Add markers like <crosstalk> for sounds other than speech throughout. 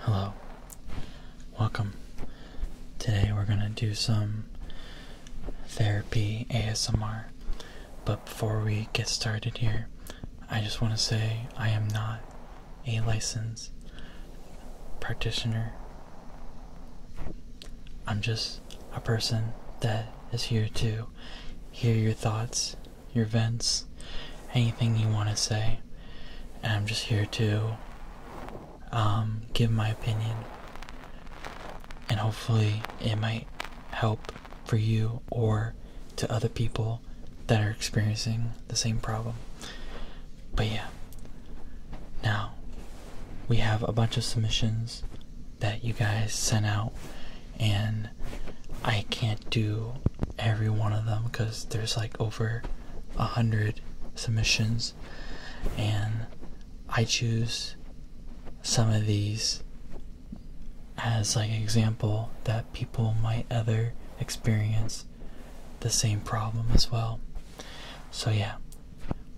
Hello, welcome. Today we're gonna do some therapy ASMR, but before we get started here, I just want to say I am not a licensed practitioner. I'm just a person that is here to hear your thoughts your vents, anything you want to say. And I'm just here to um, give my opinion. And hopefully, it might help for you or to other people that are experiencing the same problem. But yeah, now we have a bunch of submissions that you guys sent out, and I can't do every one of them because there's like over a hundred submissions, and I choose some of these as like an example that people might other experience the same problem as well. So yeah,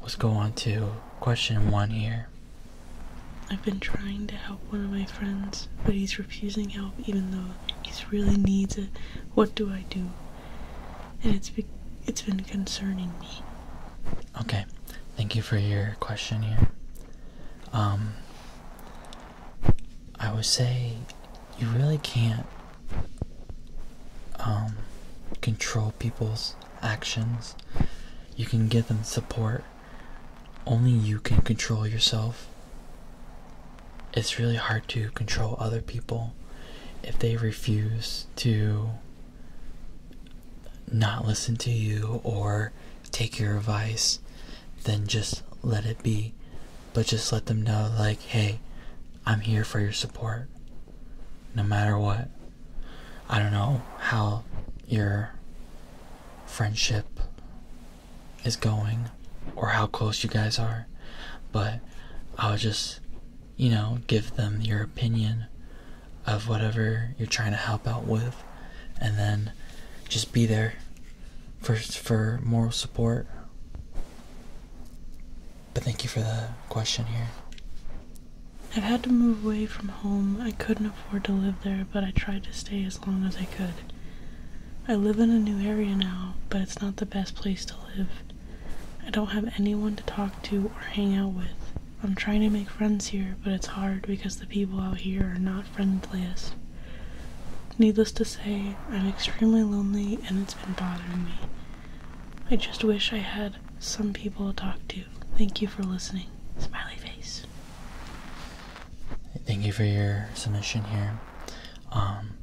let's go on to question one here. I've been trying to help one of my friends, but he's refusing help even though He's really needs it. What do I do? And it's it's been concerning me. Okay, thank you for your question here. Um, I would say you really can't um, control people's actions. You can give them support, only you can control yourself. It's really hard to control other people if they refuse to not listen to you or take your advice, then just let it be. But just let them know, like, hey, I'm here for your support no matter what. I don't know how your friendship is going or how close you guys are, but I'll just, you know, give them your opinion of whatever you're trying to help out with and then just be there for for moral support. But thank you for the question here. I've had to move away from home. I couldn't afford to live there but I tried to stay as long as I could. I live in a new area now, but it's not the best place to live. I don't have anyone to talk to or hang out with. I'm trying to make friends here, but it's hard because the people out here are not friendly. As Needless to say, I'm extremely lonely and it's been bothering me. I just wish I had some people to talk to. Thank you for listening. Smiley face. Thank you for your submission here. Um,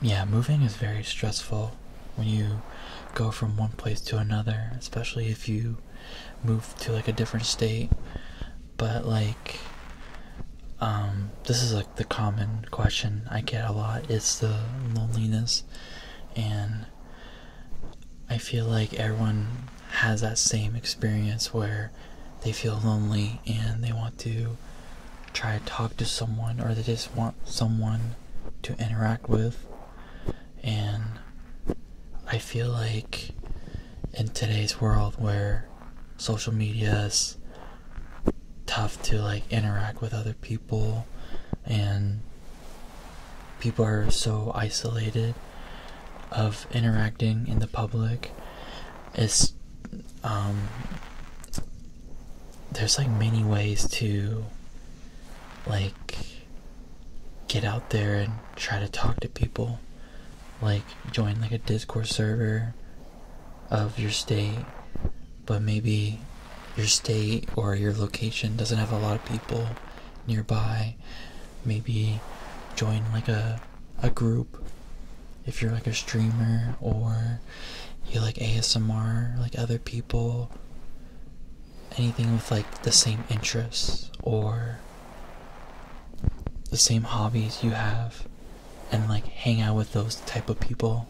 yeah, moving is very stressful when you go from one place to another, especially if you move to like a different state. But like, um, this is like the common question I get a lot it's the loneliness, and I feel like everyone has that same experience where they feel lonely and they want to try to talk to someone or they just want someone to interact with. And I feel like in today's world where social media is tough to like interact with other people and people are so isolated of interacting in the public it's um there's like many ways to like get out there and try to talk to people like join like a discord server of your state but maybe your state or your location doesn't have a lot of people nearby maybe join like a a group if you're like a streamer or you like ASMR, like other people, anything with like the same interests or the same hobbies you have, and like hang out with those type of people.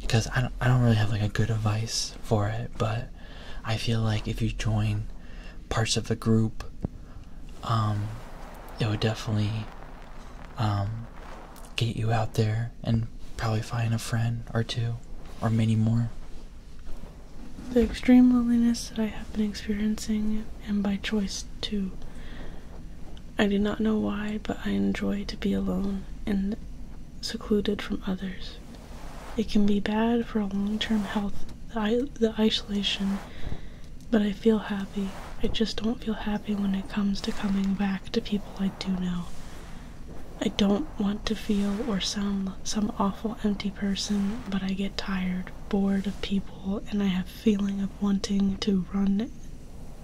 Because I don't, I don't really have like a good advice for it, but I feel like if you join parts of the group um, it would definitely um, get you out there and probably find a friend or two or many more the extreme loneliness that i have been experiencing and by choice too i do not know why but i enjoy to be alone and secluded from others it can be bad for long-term health the isolation but I feel happy. I just don't feel happy when it comes to coming back to people I do know. I don't want to feel or sound some awful empty person, but I get tired, bored of people, and I have feeling of wanting to run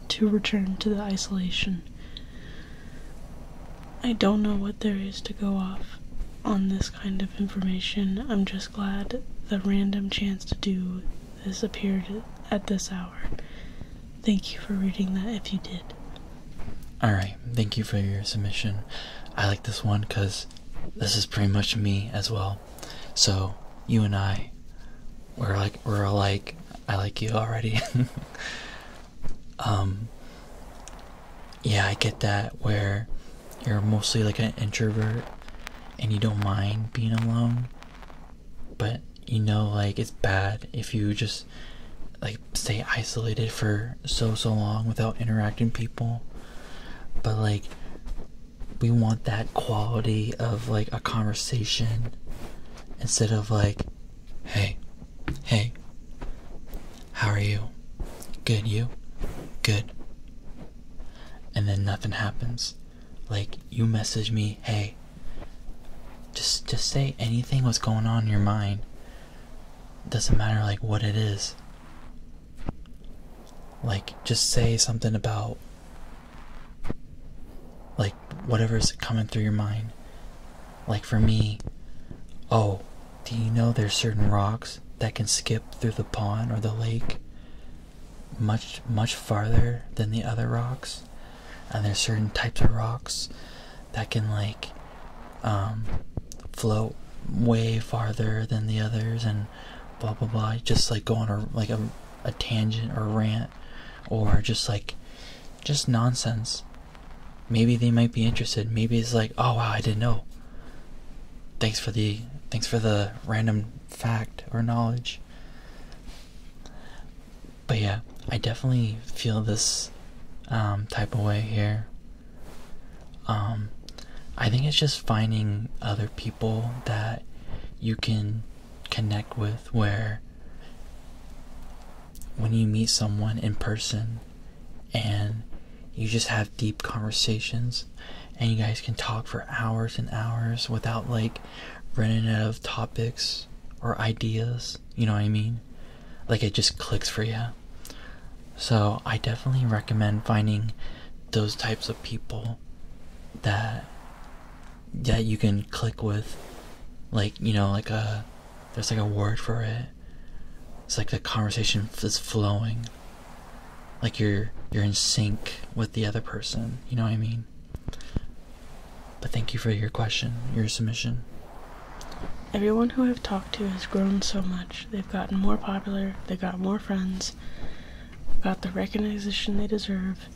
to return to the isolation. I don't know what there is to go off on this kind of information. I'm just glad the random chance to do this appeared at this hour. Thank you for reading that if you did. Alright, thank you for your submission. I like this one because this is pretty much me as well. So, you and I, we're like, we're alike. I like you already. <laughs> um, yeah, I get that where you're mostly like an introvert and you don't mind being alone, but you know like it's bad if you just like stay isolated for so so long without interacting people. But like we want that quality of like a conversation instead of like hey hey how are you good you good and then nothing happens. Like you message me, hey, just just say anything what's going on in your mind. Doesn't matter like what it is. Like just say something about like whatever's coming through your mind. Like for me, oh, do you know there's certain rocks that can skip through the pond or the lake? much much farther than the other rocks and there's certain types of rocks that can like um float way farther than the others and blah blah blah just like go on a like a tangent or rant or just like just nonsense maybe they might be interested maybe it's like oh wow i didn't know thanks for the thanks for the random fact or knowledge. But yeah, I definitely feel this um, type of way here. Um, I think it's just finding other people that you can connect with where when you meet someone in person and you just have deep conversations and you guys can talk for hours and hours without like running out of topics or ideas. You know what I mean? Like it just clicks for you. So I definitely recommend finding those types of people that that you can click with like you know like a there's like a word for it it's like the conversation is flowing like you're you're in sync with the other person. You know what I mean? But thank you for your question, your submission. Everyone who I've talked to has grown so much. They've gotten more popular, they got more friends, got the recognition they deserve.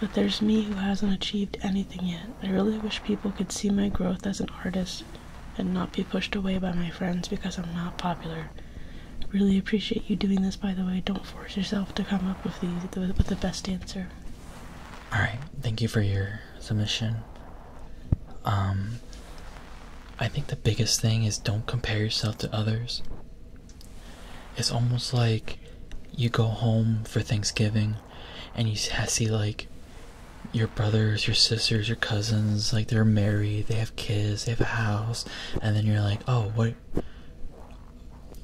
But there's me who hasn't achieved anything yet. I really wish people could see my growth as an artist and not be pushed away by my friends because I'm not popular really appreciate you doing this, by the way. Don't force yourself to come up with the, the with the best answer. All right, thank you for your submission. Um, I think the biggest thing is don't compare yourself to others. It's almost like you go home for Thanksgiving, and you see like your brothers, your sisters, your cousins, like they're married, they have kids, they have a house and then you're like oh what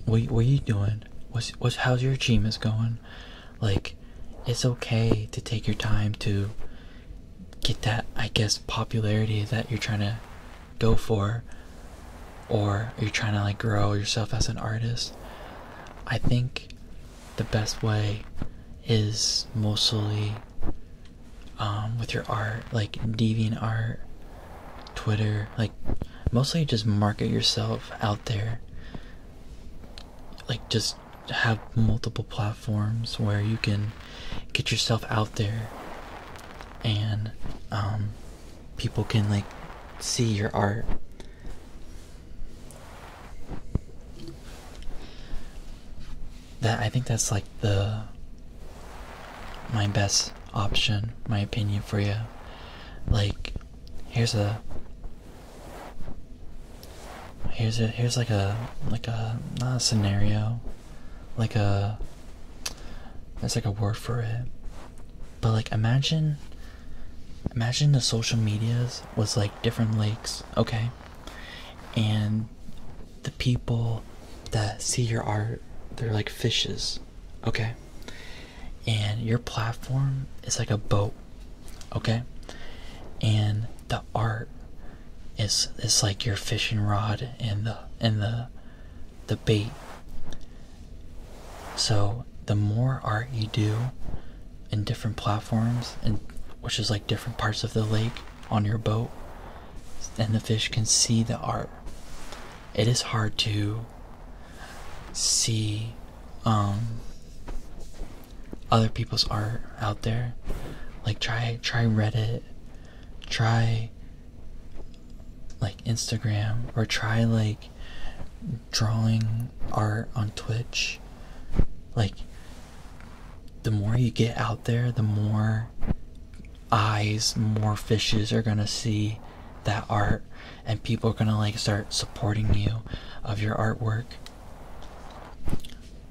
what, are you doing what's how's your achievements going like it's okay to take your time to get that i guess popularity that you're trying to go for or you're trying to like grow yourself as an artist i think the best way is mostly um, with your art, like deviant art, Twitter, like mostly just market yourself out there. Like just have multiple platforms where you can get yourself out there and um, people can like see your art that I think that's like the my best option, my opinion for you. Like, here's a here's a here's like a like a not a scenario, like a that's like a word for it, but like imagine imagine the social medias was like different lakes, okay, and the people that see your art, they're like fishes, okay? And your platform is like a boat, okay? And the art is it's like your fishing rod and the and the the bait. So the more art you do in different platforms and which is like different parts of the lake on your boat and the fish can see the art. It is hard to see um, other people's art out there. Like try try Reddit, try like Instagram or try like drawing art on Twitch. Like the more you get out there, the more eyes more fishes are gonna see that art and people are gonna like start supporting you of your artwork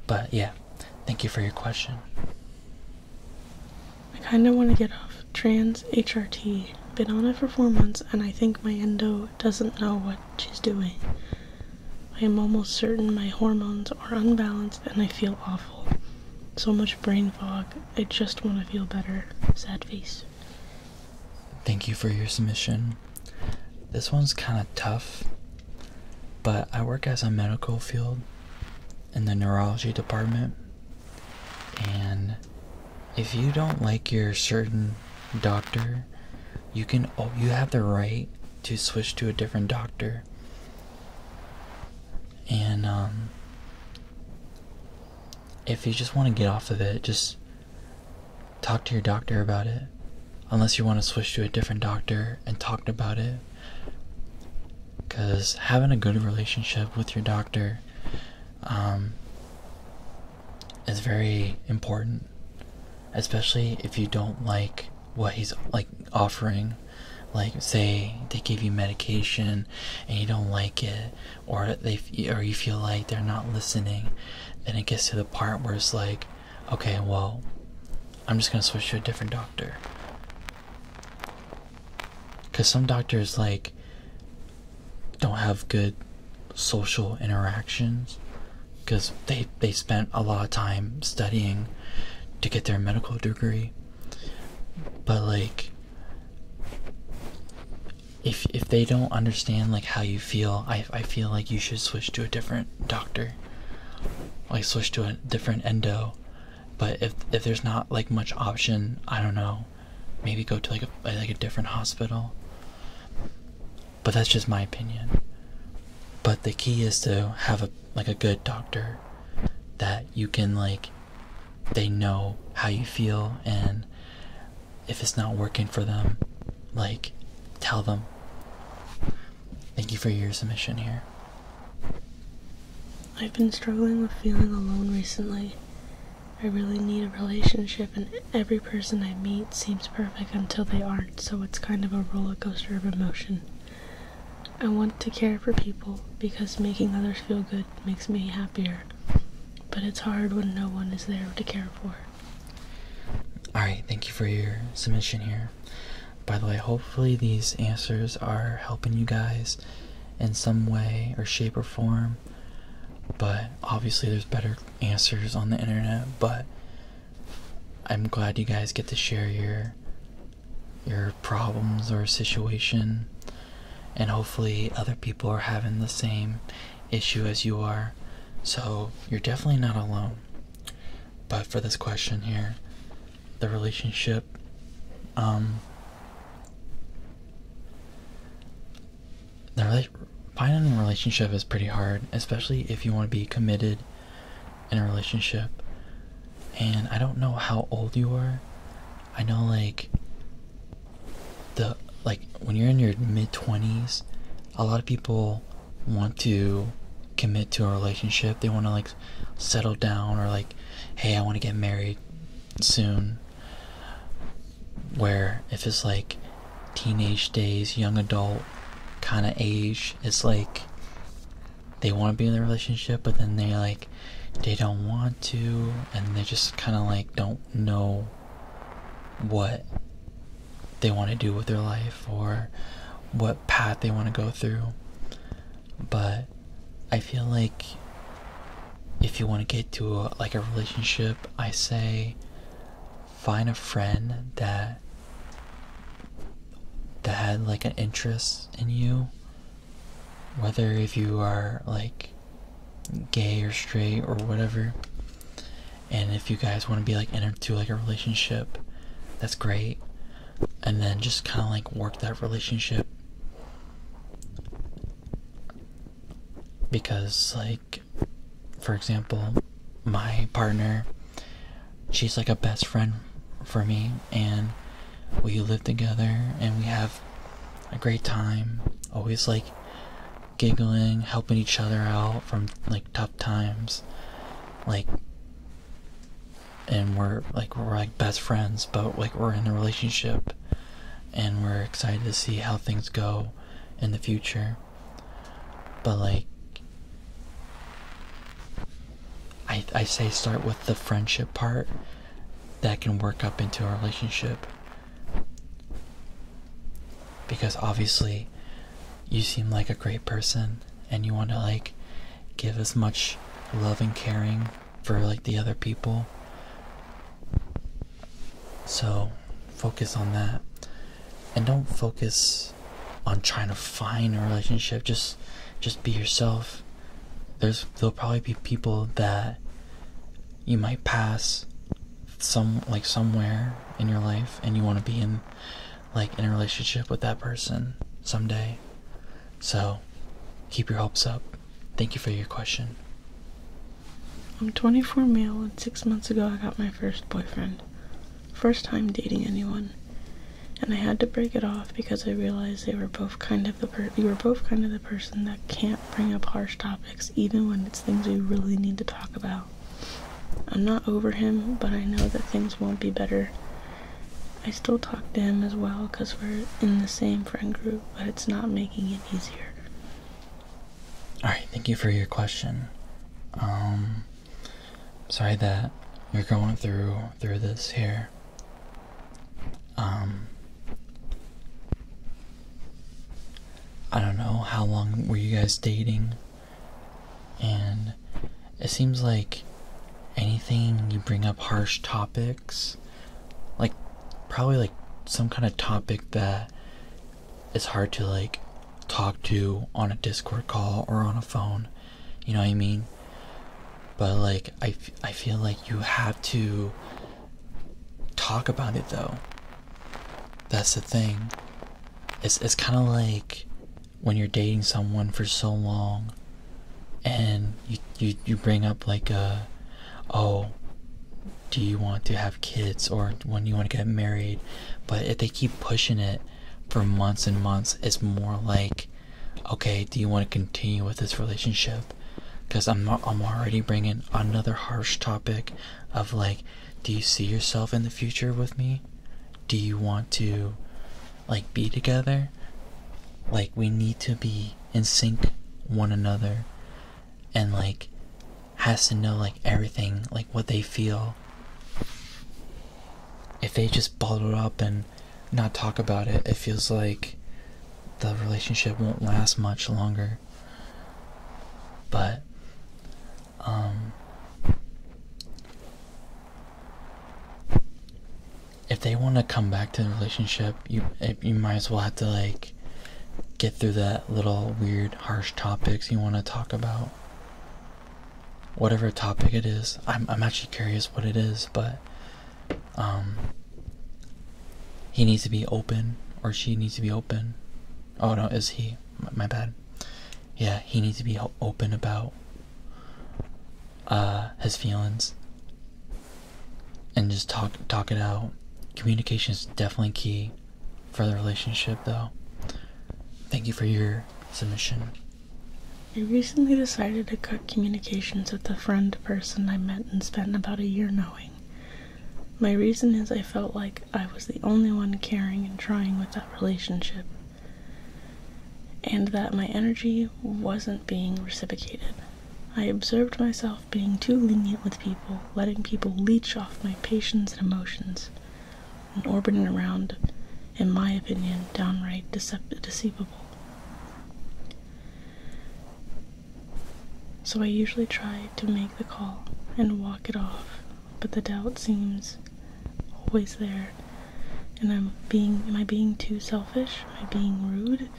but yeah thank you for your question i kind of want to get off trans hrt been on it for four months and i think my endo doesn't know what she's doing i am almost certain my hormones are unbalanced and i feel awful so much brain fog. I just want to feel better. Sad face. Thank you for your submission. This one's kind of tough, but I work as a medical field in the neurology department. And if you don't like your certain doctor, you can oh, you have the right to switch to a different doctor and um, if you just want to get off of it, just talk to your doctor about it. Unless you want to switch to a different doctor and talk about it. Because having a good relationship with your doctor um, is very important. Especially if you don't like what he's like, offering like say they give you medication and you don't like it or they or you feel like they're not listening then it gets to the part where it's like okay well i'm just going to switch to a different doctor because some doctors like don't have good social interactions because they they spent a lot of time studying to get their medical degree but like if if they don't understand like how you feel, I I feel like you should switch to a different doctor. Like switch to a different endo. But if if there's not like much option, I don't know. Maybe go to like a like a different hospital. But that's just my opinion. But the key is to have a like a good doctor that you can like they know how you feel and if it's not working for them like tell them thank you for your submission here i've been struggling with feeling alone recently i really need a relationship and every person i meet seems perfect until they aren't so it's kind of a roller coaster of emotion I want to care for people because making others feel good makes me happier. But it's hard when no one is there to care for. Alright, thank you for your submission here. By the way, hopefully these answers are helping you guys in some way or shape or form. But obviously, there's better answers on the internet. But I'm glad you guys get to share your your problems or situation, and hopefully, other people are having the same issue as you are. So, you're definitely not alone. But for this question here, the relationship, um, the finding a relationship is pretty hard, especially if you want to be committed in a relationship and I don't know how old you are. I know like the like when you're in your mid 20s, a lot of people want to commit to a relationship. They want to like settle down or like hey, I want to get married soon. Where if it's like teenage days, young adult kind of age, it's like they want to be in a relationship, but then they like they don't want to, and they just kind of like don't know what they want to do with their life or what path they want to go through. But I feel like if you want to get to like a relationship, I say find a friend that that had like an interest in you whether if you are like gay or straight or whatever and if you guys want to be like into like a relationship that's great and then just kind of like work that relationship because like for example my partner she's like a best friend for me and we live together and we have a great time, always like giggling, helping each other out from like tough times, like and we're like we're like best friends, but like we're in a relationship and we're excited to see how things go in the future. But like I I say start with the friendship part that can work up into a relationship because obviously you seem like a great person and you want to like give as much love and caring for like the other people so focus on that and don't focus on trying to find a relationship just just be yourself there's there'll probably be people that you might pass some like somewhere in your life and you want to be in like in a relationship with that person someday so keep your hopes up thank you for your question i'm 24 male and six months ago i got my first boyfriend first time dating anyone and i had to break it off because i realized they were both kind of the you were both kind of the person that can't bring up harsh topics, even when it's things we really need to talk about. I'm not over him, but I know that things won't be better. I still talk to him as well because we're in the same friend group, but it's not making it easier. Alright, thank you for your question. Um, sorry that you're going through through this here. Um, I don't know how long were you guys dating, and it seems like anything you bring up harsh topics, like probably like some kind of topic that is hard to like talk to on a Discord call or on a phone. You know what I mean? but like I, I feel like you have to talk about it though that's the thing it's, it's kind of like when you're dating someone for so long and you, you you bring up like uh oh do you want to have kids or when you want to get married but if they keep pushing it for months and months it's more like okay, do you want to continue with this relationship? Because I'm, I'm already bringing another harsh topic of like, do you see yourself in the future with me? Do you want to like be together? Like, we need to be in sync one another and like has to know like everything like what they feel if they just bottle up and not talk about it, it feels like the relationship won't last much longer. But, um, if they want to come back to the relationship, you eh, you might as well have to like get through that little weird, harsh topics you want to talk about. Whatever topic it is, I'm I'm actually curious what it is, but um, he needs to be open or she needs to be open. Oh no, is he? My bad. Yeah, he needs to be open about uh, his feelings and just talk talk it out. Communication is definitely key for the relationship, though. Thank you for your submission. I recently decided to cut communications with a friend person I met and spent about a year knowing. My reason is I felt like I was the only one caring and trying with that relationship, and that my energy wasn't being reciprocated. I observed myself being too lenient with people, letting people leech off my patience and emotions, and orbiting around, in my opinion, downright decept- deceivable. So I usually try to make the call and walk it off, but the doubt seems always there. And I'm being, am I being too selfish? Am I being rude?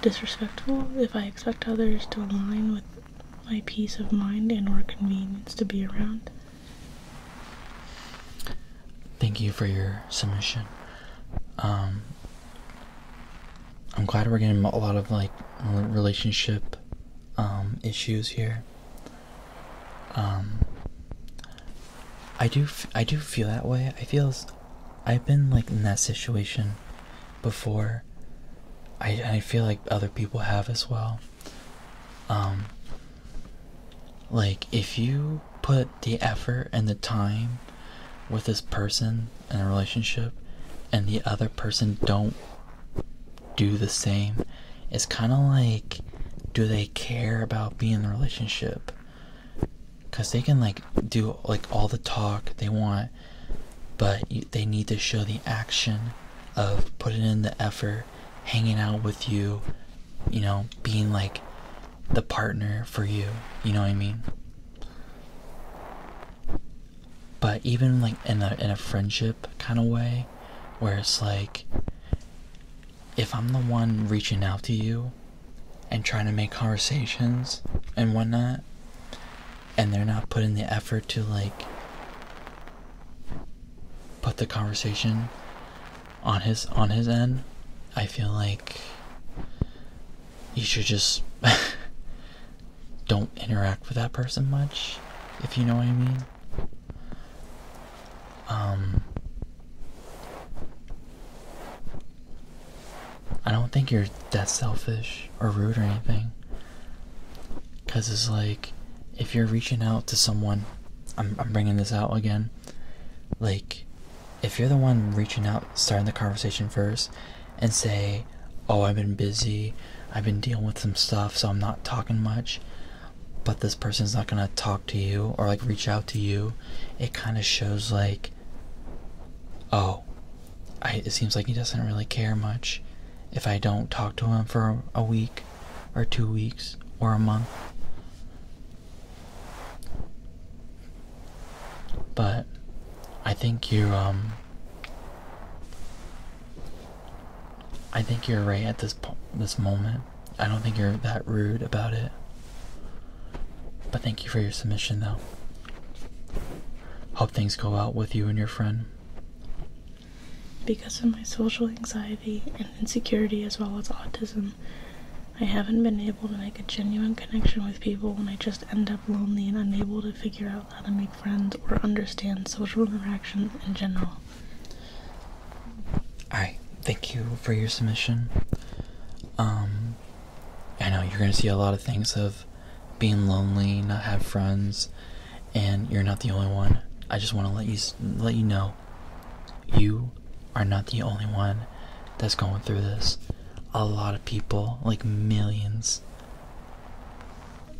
Disrespectful? If I expect others to align with my peace of mind and or convenience to be around? Thank you for your submission. Um, I'm glad we're getting a lot of like relationship um, issues here. Um, I do I do feel that way. I feel I've been like in that situation before. I I feel like other people have as well. Um, like if you put the effort and the time with this person in a relationship and the other person don't do the same, it's kind of like do they care about being in the relationship? Because they can like do like all the talk they want, but they need to show the action of putting in the effort, hanging out with you, you know, being like the partner for you. You know what I mean? But even like in a in a friendship kind of way, where it's like if I'm the one reaching out to you and trying to make conversations and whatnot, and they're not putting the effort to like put the conversation on his on his end, I feel like you should just <laughs> don't interact with that person much, if you know what I mean. Um, I don't think you're that selfish or rude or anything. Because it's like, if you're reaching out to someone, I'm, I'm bringing this out again. Like, if you're the one reaching out, starting the conversation first, and say, Oh, I've been busy, I've been dealing with some stuff, so I'm not talking much. But this person's not gonna talk to you or like reach out to you. It kind of shows like, oh, it seems like he doesn't really care much if I don't talk to him for a week or two weeks or a month. But I think you um I think you're right at this this moment. I don't think you're that rude about it. But thank you for your submission though. Hope things go out with you and your friend. Because of my social anxiety and insecurity as well as autism, I haven't been able to make a genuine connection with people when I just end up lonely and unable to figure out how to make friends or understand social interaction in general. Alright, thank you for your submission. Um, I know you're gonna see a lot of things of being lonely, not have friends, and you're not the only one. I just want to let you let you know, you are not the only one that's going through this a lot of people, like millions,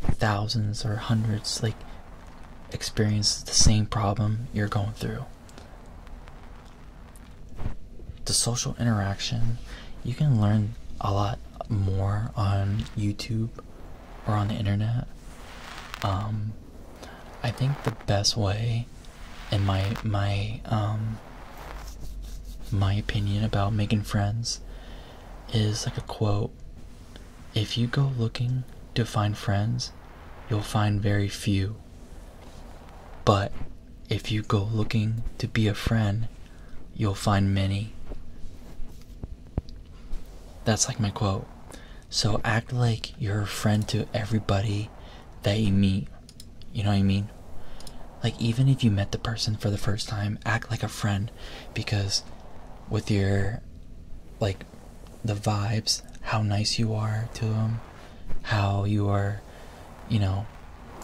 thousands, or hundreds, like experience the same problem you're going through. The social interaction, you can learn a lot more on YouTube or on the internet. Um, I think the best way, in my my um, my opinion about making friends is like a quote if you go looking to find friends, you'll find very few. But if you go looking to be a friend, you'll find many. That's like my quote. So act like you're a friend to everybody that you meet. You know what I mean? Like, even if you met the person for the first time, act like a friend because with your, like, the vibes, how nice you are to them, how you are, you know,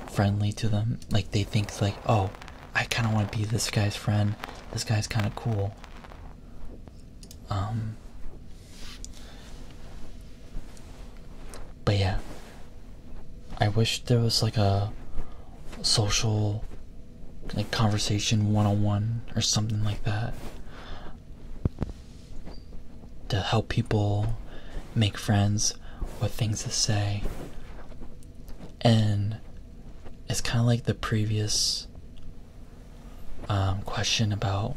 friendly to them, like, they think, like, oh, I kind of want to be this guy's friend. This guy's kind of cool. Um, but yeah, I wish there was like a social like conversation one-on-one or something like that to help people make friends with things to say and it's kind of like the previous um, question about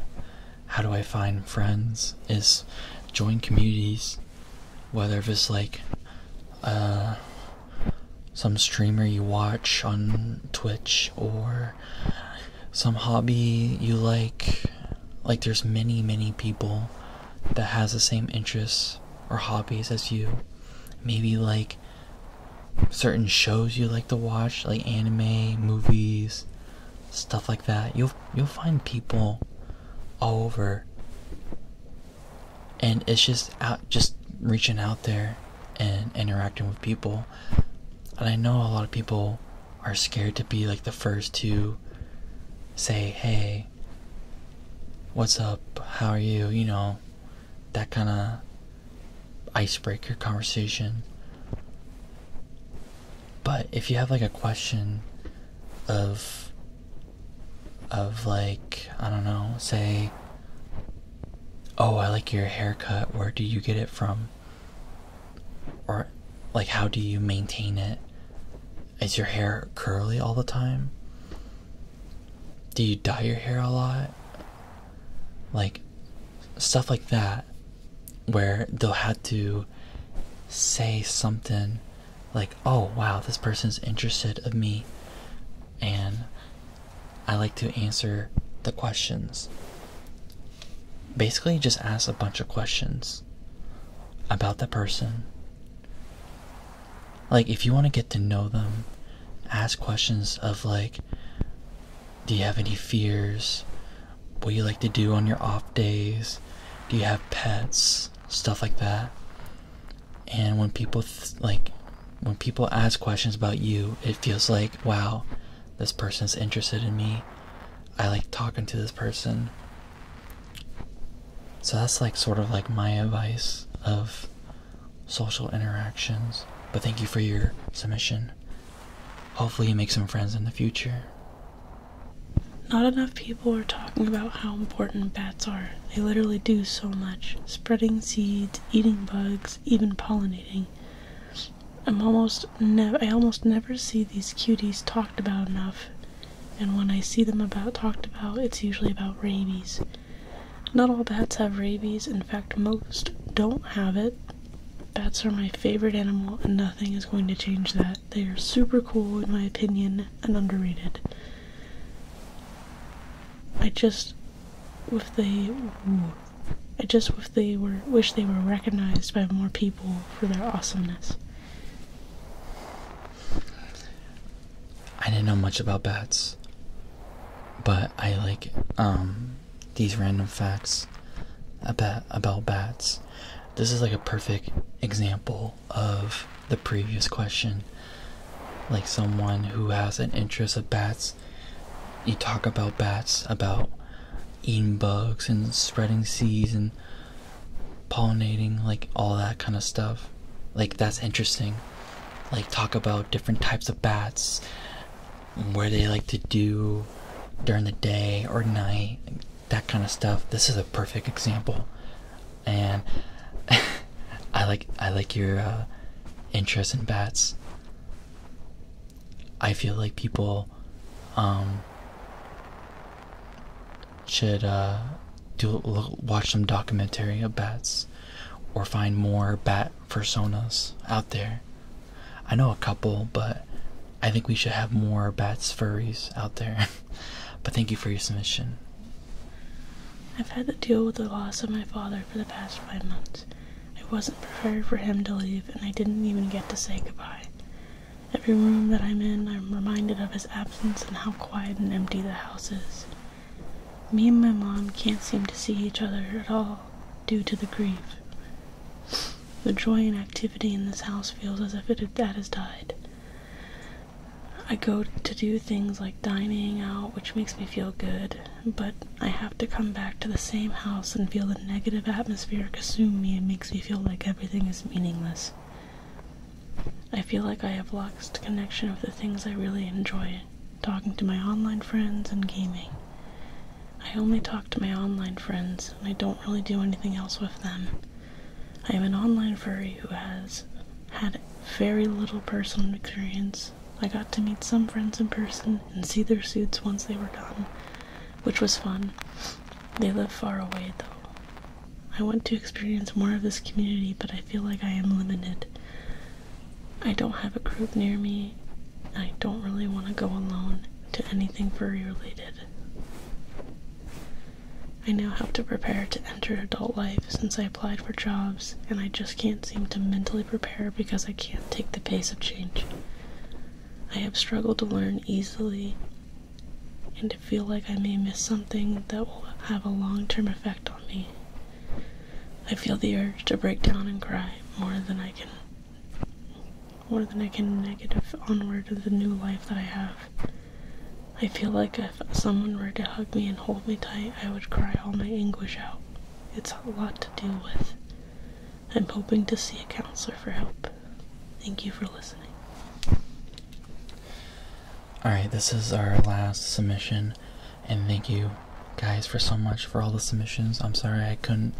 how do i find friends is join communities whether if it's like uh, some streamer you watch on Twitch or some hobby you like like there's many many people that has the same interests or hobbies as you maybe like certain shows you like to watch like anime movies stuff like that you you'll find people all over and it's just out just reaching out there and interacting with people and i know a lot of people are scared to be like the first to say hey what's up how are you you know that kind of icebreaker conversation but if you have like a question of of like I don't know, say oh, I like your haircut, where do you get it from? Or like how do you maintain it? Is your hair curly all the time? Do you dye your hair a lot? Like stuff like that where they'll have to say something like oh wow this person's interested of me and i like to answer the questions basically just ask a bunch of questions about the person like if you want to get to know them ask questions of like do you have any fears what do you like to do on your off days do you have pets stuff like that. And when people like when people ask questions about you, it feels like, wow, this person's interested in me. I like talking to this person. So that's like sort of like my advice of social interactions. But thank you for your submission. Hopefully, you make some friends in the future. Not enough people are talking about how important bats are. They literally do so much spreading seeds, eating bugs, even pollinating. I'm almost never I almost never see these cuties talked about enough, and when I see them about talked about, it's usually about rabies. Not all bats have rabies, in fact, most don't have it. Bats are my favorite animal, and nothing is going to change that. They are super cool, in my opinion, and underrated. I just with they, I just wish they were wish they were recognized by more people for their awesomeness. I didn't know much about bats, but I like um these random facts about about bats. This is like a perfect example of the previous question like someone who has an interest of bats you talk about bats about eating bugs and spreading seeds and pollinating like all that kind of stuff like that's interesting like talk about different types of bats where they like to do during the day or night that kind of stuff this is a perfect example and <laughs> I like I like your uh, interest in bats. I feel like people um, should uh, do watch some documentary of bats, or find more bat personas out there. I know a couple, but I think we should have more bats furries out there. <laughs> but thank you for your submission. I've had to deal with the loss of my father for the past five months. I wasn't prepared for him to leave, and I didn't even get to say goodbye. Every room that I'm in, I'm reminded of his absence and how quiet and empty the house is. Me and my mom can't seem to see each other at all due to the grief. The joy and activity in this house feels as if it has died. I go to do things like dining out, which makes me feel good, but I have to come back to the same house and feel the negative atmosphere consume me and makes me feel like everything is meaningless. I feel like I have lost connection with the things I really enjoy talking to my online friends and gaming. I only talk to my online friends, and I don't really do anything else with them. I am an online furry who has had very little personal experience. I got to meet some friends in person and see their suits once they were done, which was fun. They live far away though. I want to experience more of this community, but I feel like I am limited. I don't have a group near me. I don't really want to go alone to anything furry related. I now have to prepare to enter adult life since I applied for jobs, and I just can't seem to mentally prepare because I can't take the pace of change. I have struggled to learn easily and to feel like I may miss something that will have a long term effect on me. I feel the urge to break down and cry more than I can more than I can negative onward to the new life that I have. I feel like if someone were to hug me and hold me tight, I would cry all my anguish out. It's a lot to deal with. I'm hoping to see a counselor for help. Thank you for listening. Alright, this is our last submission, and thank you guys for so much for all the submissions. I'm sorry I couldn't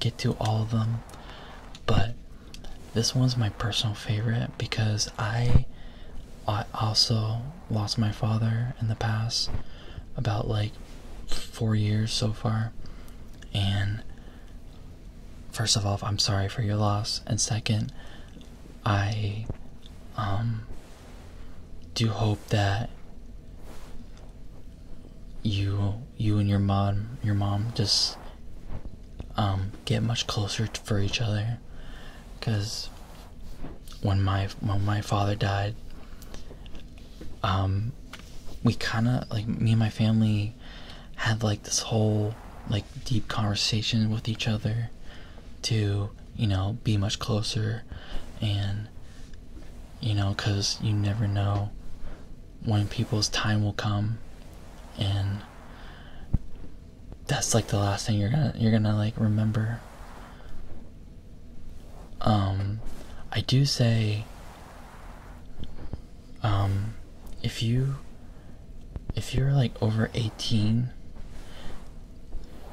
get to all of them, but this one's my personal favorite because I, I also lost my father in the past, about like four years so far. And first of all, I'm sorry for your loss. And second, I um, do hope that you you and your mom your mom just um, get much closer for each other because when my when my father died, um, we kind of like me and my family had like this whole like deep conversation with each other to you know be much closer and you know because you never know when people's time will come and that's like the last thing you're gonna you're gonna like remember. Um, I do say, um, if you if you're like over 18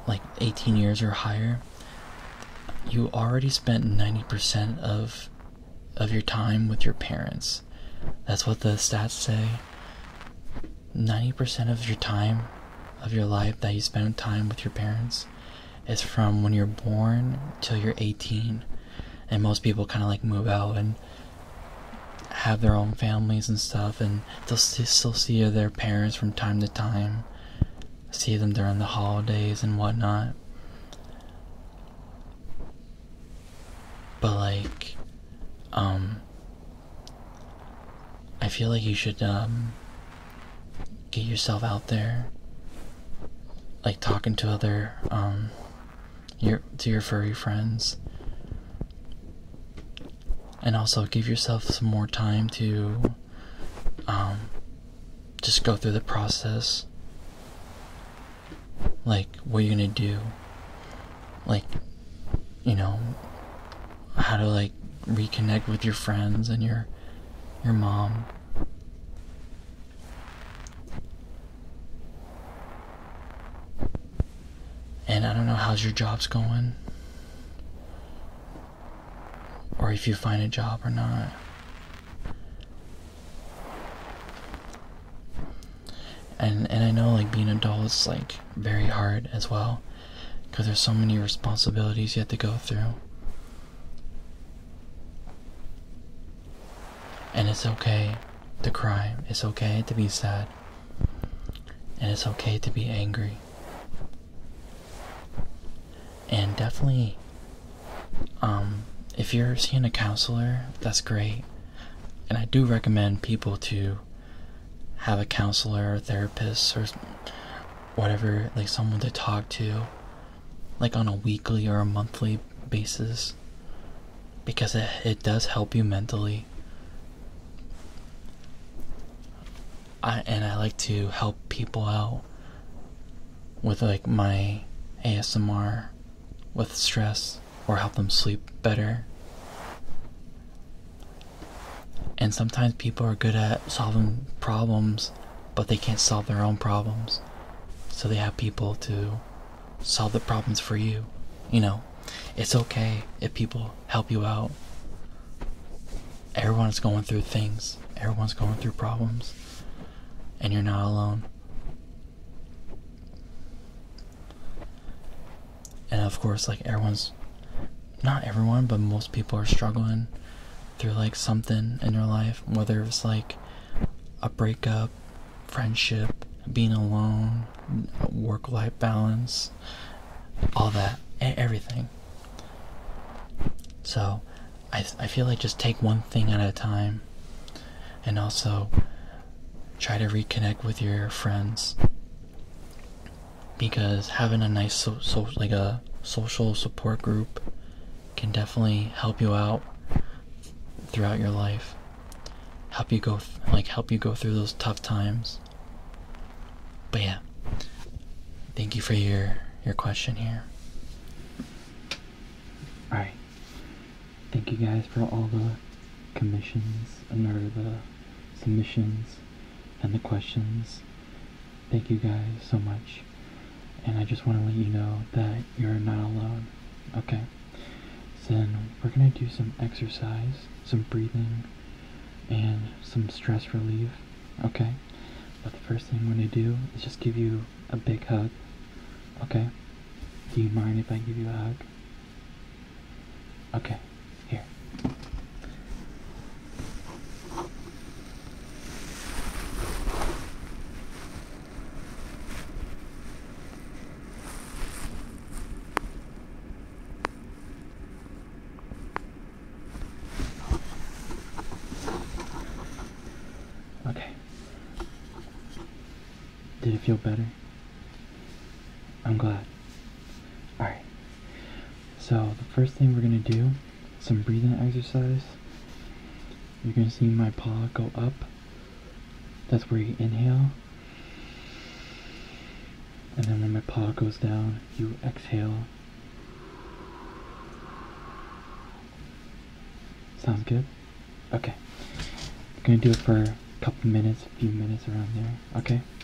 like 18 years or higher you already spent 90% of of your time with your parents that's what the stats say. 90% of your time of your life that you spend time with your parents is from when you're born till you're 18. And most people kind of like move out and have their own families and stuff, and they'll still see their parents from time to time, see them during the holidays and whatnot. But like, um, I feel like you should um, get yourself out there like talking to other um, your to your furry friends and also give yourself some more time to um, just go through the process like what you're gonna do like you know how to like reconnect with your friends and your your mom and I don't know how's your job's going or if you find a job or not and and I know like being an adult is like very hard as well because there's so many responsibilities you have to go through and it's okay to cry it's okay to be sad and it's okay to be angry and definitely um if you're seeing a counselor that's great and I do recommend people to have a counselor or therapist or whatever, like someone to talk to, like on a weekly or a monthly basis, because it, it does help you mentally. I, and I like to help people out with like my ASMR with stress or help them sleep better. And sometimes people are good at solving problems, but they can't solve their own problems. So they have people to solve the problems for you. You know, it's okay if people help you out. Everyone is going through things, everyone's going through problems, and you're not alone. And of course, like everyone's not everyone, but most people are struggling through like something in their life, whether it's like a breakup, friendship, being alone, work life balance, all that, everything. So, I, I feel like just take one thing at a time and also try to reconnect with your friends because having a nice so, like a social support group can definitely help you out throughout your life help you go like help you go through those tough times but yeah thank you for your your question here all right thank you guys for all the commissions and all the submissions and the questions. Thank you guys so much. And I just want to let you know that you're not alone. Okay? then we're going to do some exercise, some breathing, and some stress relief. Okay? But the first thing I'm going to do is just give you a big hug. Okay? Do you mind if I give you a hug? Okay, here. Okay. Did it feel better? I'm glad. Alright. So, the first thing we're going to do some breathing exercise. You're going to see my paw go up. That's where you inhale. And then when my paw goes down, you exhale. Sounds good? Okay. I'm gonna do it for a couple minutes, a few minutes around there, okay?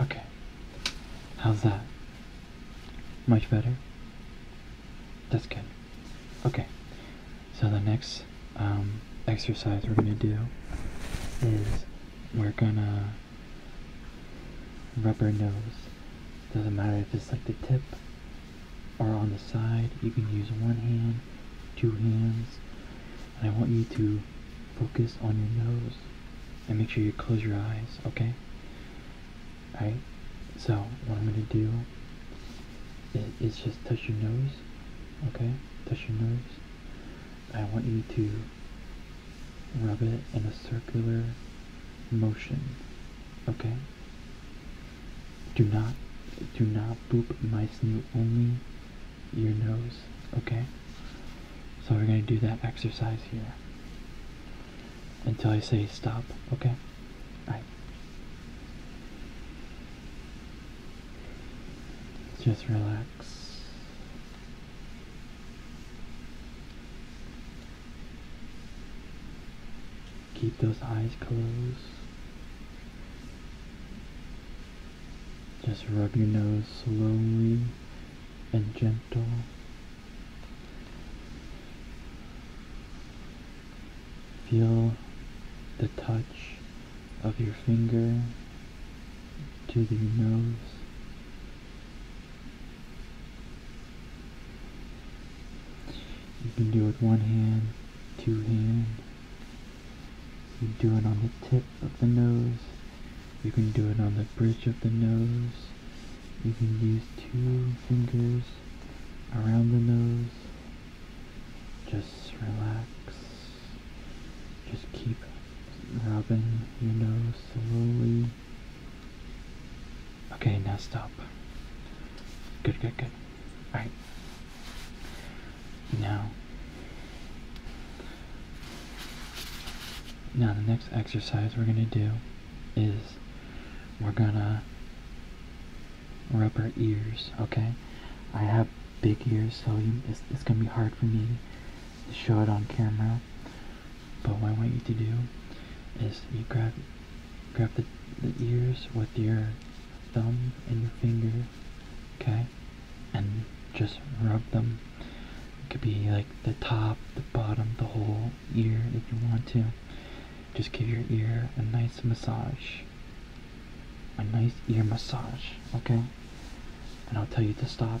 Okay. How's that? Much better? That's good. Okay. So the next um, exercise we're going to do is we're going to rub our nose. Doesn't matter if it's like the tip are on the side. You can use one hand, two hands, and I want you to focus on your nose and make sure you close your eyes, okay? Alright, so what I'm gonna do is just touch your nose, okay? Touch your nose. I want you to rub it in a circular motion, okay? Do not, do not poop my snoot, only your nose, okay? So we're gonna do that exercise here until I say stop, okay? Alright. Just relax. Keep those eyes closed. Just rub your nose slowly and gentle. Feel the touch of your finger to your nose. You can do it with one hand two hand. You do it on the tip of the nose. You can do it on the bridge of the nose. You can use two fingers around the nose. Just relax. Just keep rubbing your nose slowly. Okay, now stop. Good, good, good. Right. Now, now the next exercise we're gonna do is we're gonna rub our ears. Okay. I have big ears, so it's, gonna be hard for me to show it on camera. But what I want you to do is you grab grab the ears with your thumb and your finger, okay? And just rub them. It could be like the top, the bottom, the whole ear if you want to. Just give your ear a nice massage. A nice ear massage, okay? And I'll tell you to stop.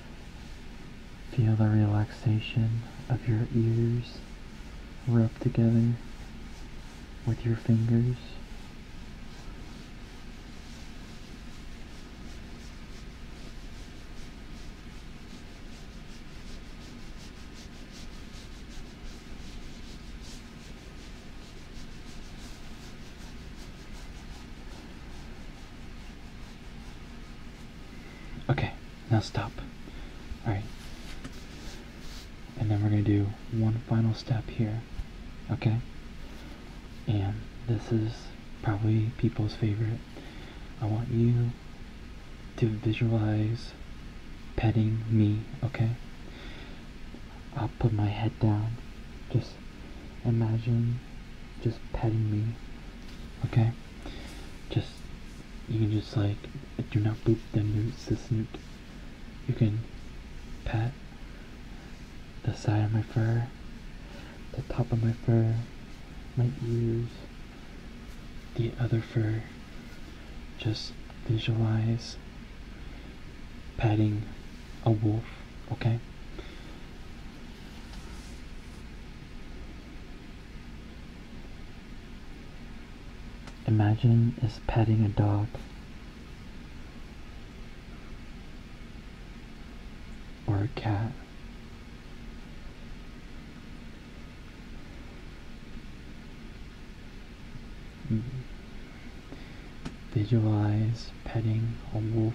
Feel the relaxation of your ears rub together with your fingers. Okay, now stop. Alright. And then we're going to do one final step here. Okay? And this is probably people's favorite. I want you to visualize petting me, okay? I'll put my head down. Just imagine just petting me, okay? just you can just like do not boop them your assistant. You can pat the side of my fur, the top of my fur, my ears, the other fur. Just visualize patting a wolf, okay? Imagine is petting a dog. Or a cat. Visualize petting a wolf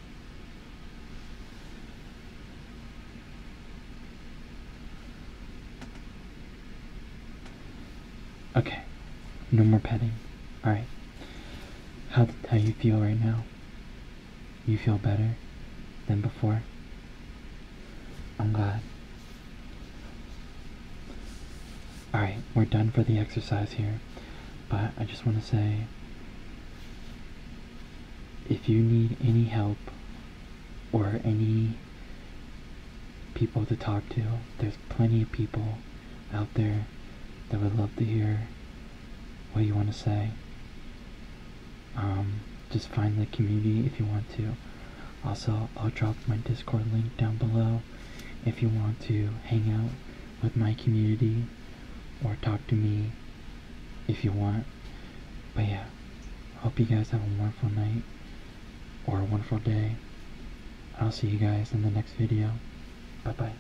Okay, no more petting. Alright. How, how you feel right now? You feel better than before? I'm glad. Alright, we're done for the exercise here. But I just want to say if you need any help or any people to talk to, there's plenty of people out there that would love to hear what you want to say. Um, just find the community if you want to. Also, I'll drop my Discord link down below if you want to hang out with my community or talk to me if you want. But yeah, hope you guys have a wonderful night or a wonderful day. I'll see you guys in the next video. Bye bye.